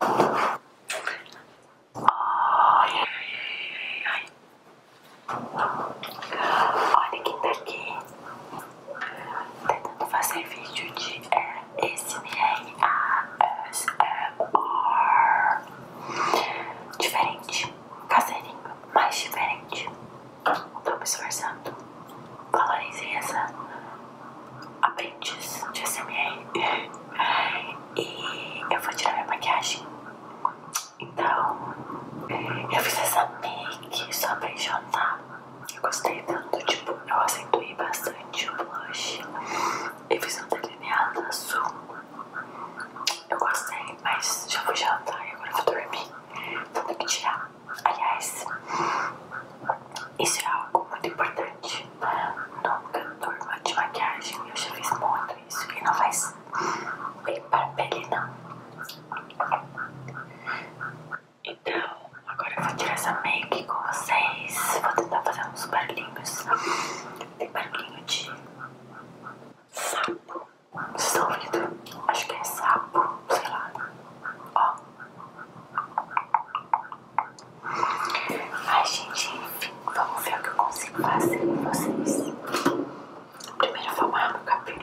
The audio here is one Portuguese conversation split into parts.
Ai, ai, ai. Olha quem tá aqui. Tentando fazer vídeo de ASMR. Diferente. Caseirinho. Mais diferente. Tô me esforçando. Valorizem essa aprendiz de SMR. E eu vou tirar minha maquiagem. Então, eu fiz essa make só pra enxotar. Eu gostei tanto, tipo, eu acentuei bastante o blush. Eu fiz um delineado azul. Eu gostei, mas já vou jantar e agora vou dormir. Tanto que tirar. Aliás, isso é algo muito importante para turma de maquiagem. Eu já fiz muito isso e não faz bem para pegar não. Então, agora eu vou tirar essa make com vocês. Vou tentar fazer uns barulhinhos. Tem barulhinho de sapo. estão Sólido. Acho que é sapo, sei lá. Ó. Ai, gente, vamos ver o que eu consigo fazer com vocês. Primeiro, eu vou arrumar meu cabelo.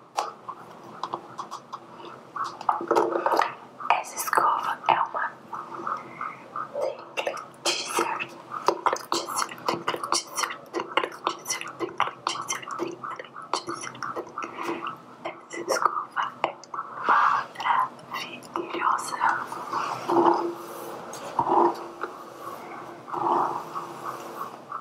Essa escova é uma Tingle Teaser Tingle Teaser Tingle Teaser Tingle Teaser Tingle Essa escova é maravilhosa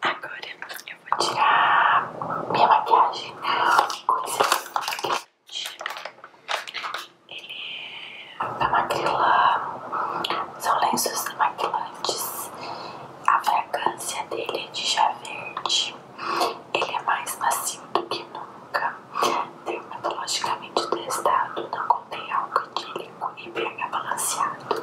Agora eu vou tirar minha maquiagem ele é da Maquila, são lenços demaquilantes. A fragrância dele é de chá verde. Ele é mais macio do que nunca. Dermatologicamente testado, não contém álcool etílico e pH balanceado.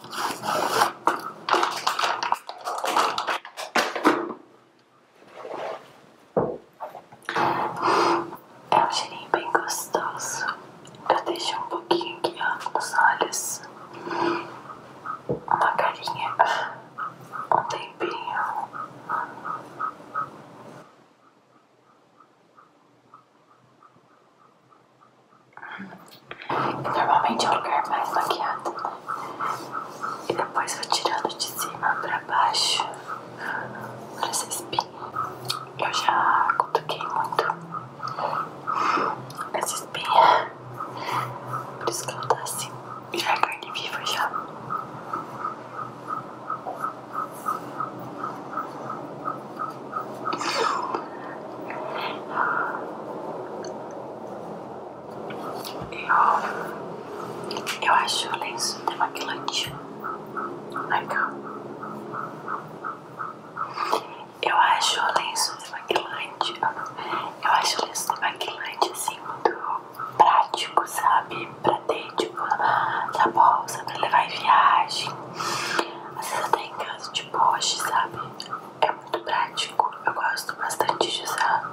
É um cheirinho bem gostoso. Eu deixo um pouquinho aqui ó, nos olhos, uma carinha, um tempinho. Normalmente é o lugar mais maquiado. E depois vou tirando de cima pra baixo. Pra essa espinha. Eu já cutuquei muito essa espinha. Por isso que ela tá assim. Já é carne viva já. Eu, eu acho o lenço de demaquilante legal. Eu acho o lenço de demaquilante. Eu acho o lenço demaquilante assim muito prático, sabe? Pra ter tipo na bolsa, pra levar em viagem. Às vezes até em casa de poste, sabe? é muito prático. Eu gosto bastante de usar.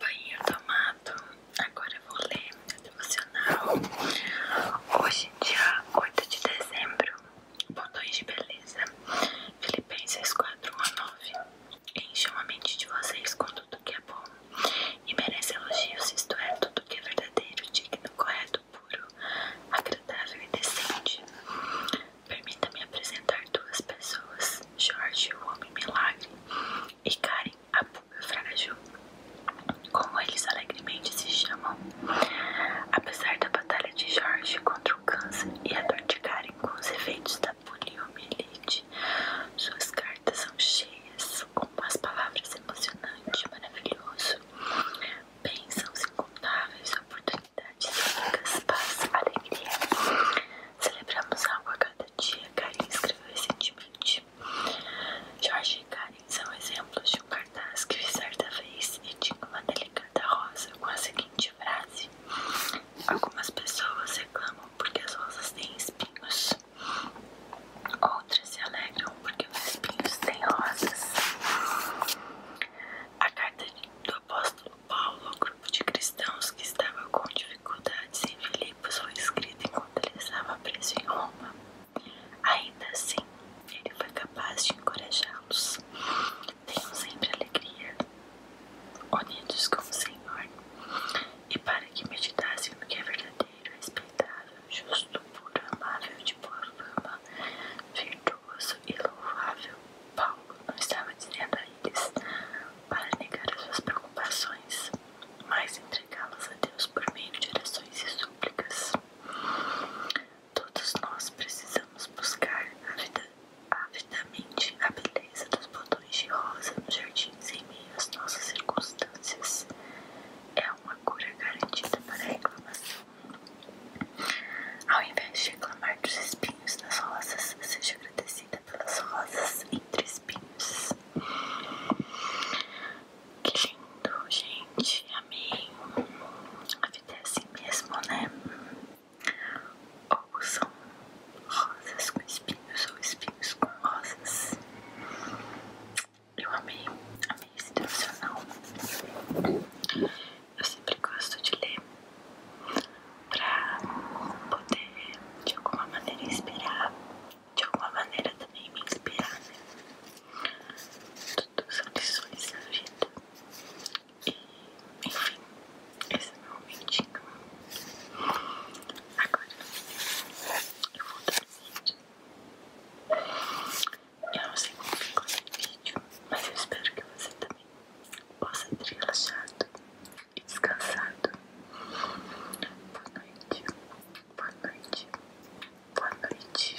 Banho tomado. Agora vou ler meu devocional. Hoje, dia oito de dezembro botões de beleza Filipenses 4:19 Encham a mente de vocês com tudo que é bom e merece elogios, isto é, tudo que é verdadeiro, digno, correto, puro, agradável e decente. Permita-me apresentar duas pessoas, Jorge, o homem milagre, e Karen, a pulga frágil. Como eles alegremente se chamam, Apesar da batalha de Jorge contra o câncer e a dor de Karen com os efeitos da poliomielite, suas cartas são cheias com umas palavras emocionantes, maravilhoso. Bênçãos incontáveis, oportunidades únicas, paz, alegria. Celebramos algo a cada dia, Karen escreveu recentemente. Jorge e Karen são exemplos de um cartaz que vi certa vez e tinha uma delicada rosa com a seguinte frase: Algumas pessoas reclamam porque as rosas têm espinhos, outras se alegram porque os espinhos têm rosas. A carta do apóstolo Paulo ao grupo de cristãos que estava com dificuldades em Filipos foi escrita enquanto ele estava preso em Roma. Ainda assim, ele foi capaz de encorajá-los. Tenham sempre alegria, unidos com o Senhor, e para que meditassem no que é verdadeiro, respeitável, justo, puro, amável, de boa fama, virtuoso e louvável. Paulo não estava dizendo a eles para negar as suas preocupações, mas entregá-las a Deus por meio de orações e súplicas. Todos nós precisamos buscar avidamente a beleza dos botões de rosa nos jardins em meio às nossas circunstâncias. É uma cura garantida para a reclamação. Ao invés de reclamar dos espinhos das rosas, seja agradecida pelas rosas entre espinhos. Que lindo, gente. Amei. A vida é assim mesmo, né? Ou são rosas com espinhos ou espinhos com rosas. Eu amei, amei esse Eu sempre gosto de ler pra poder de alguma maneira inspirar, de alguma maneira também me inspirar, né? Tudo são lições na vida. E, enfim, esse é meu vídeo. Agora eu vou dormir. Eu não sei como ficou esse vídeo, mas eu espero que você também possa ter relaxado e descansado. Boa noite, boa noite, boa noite.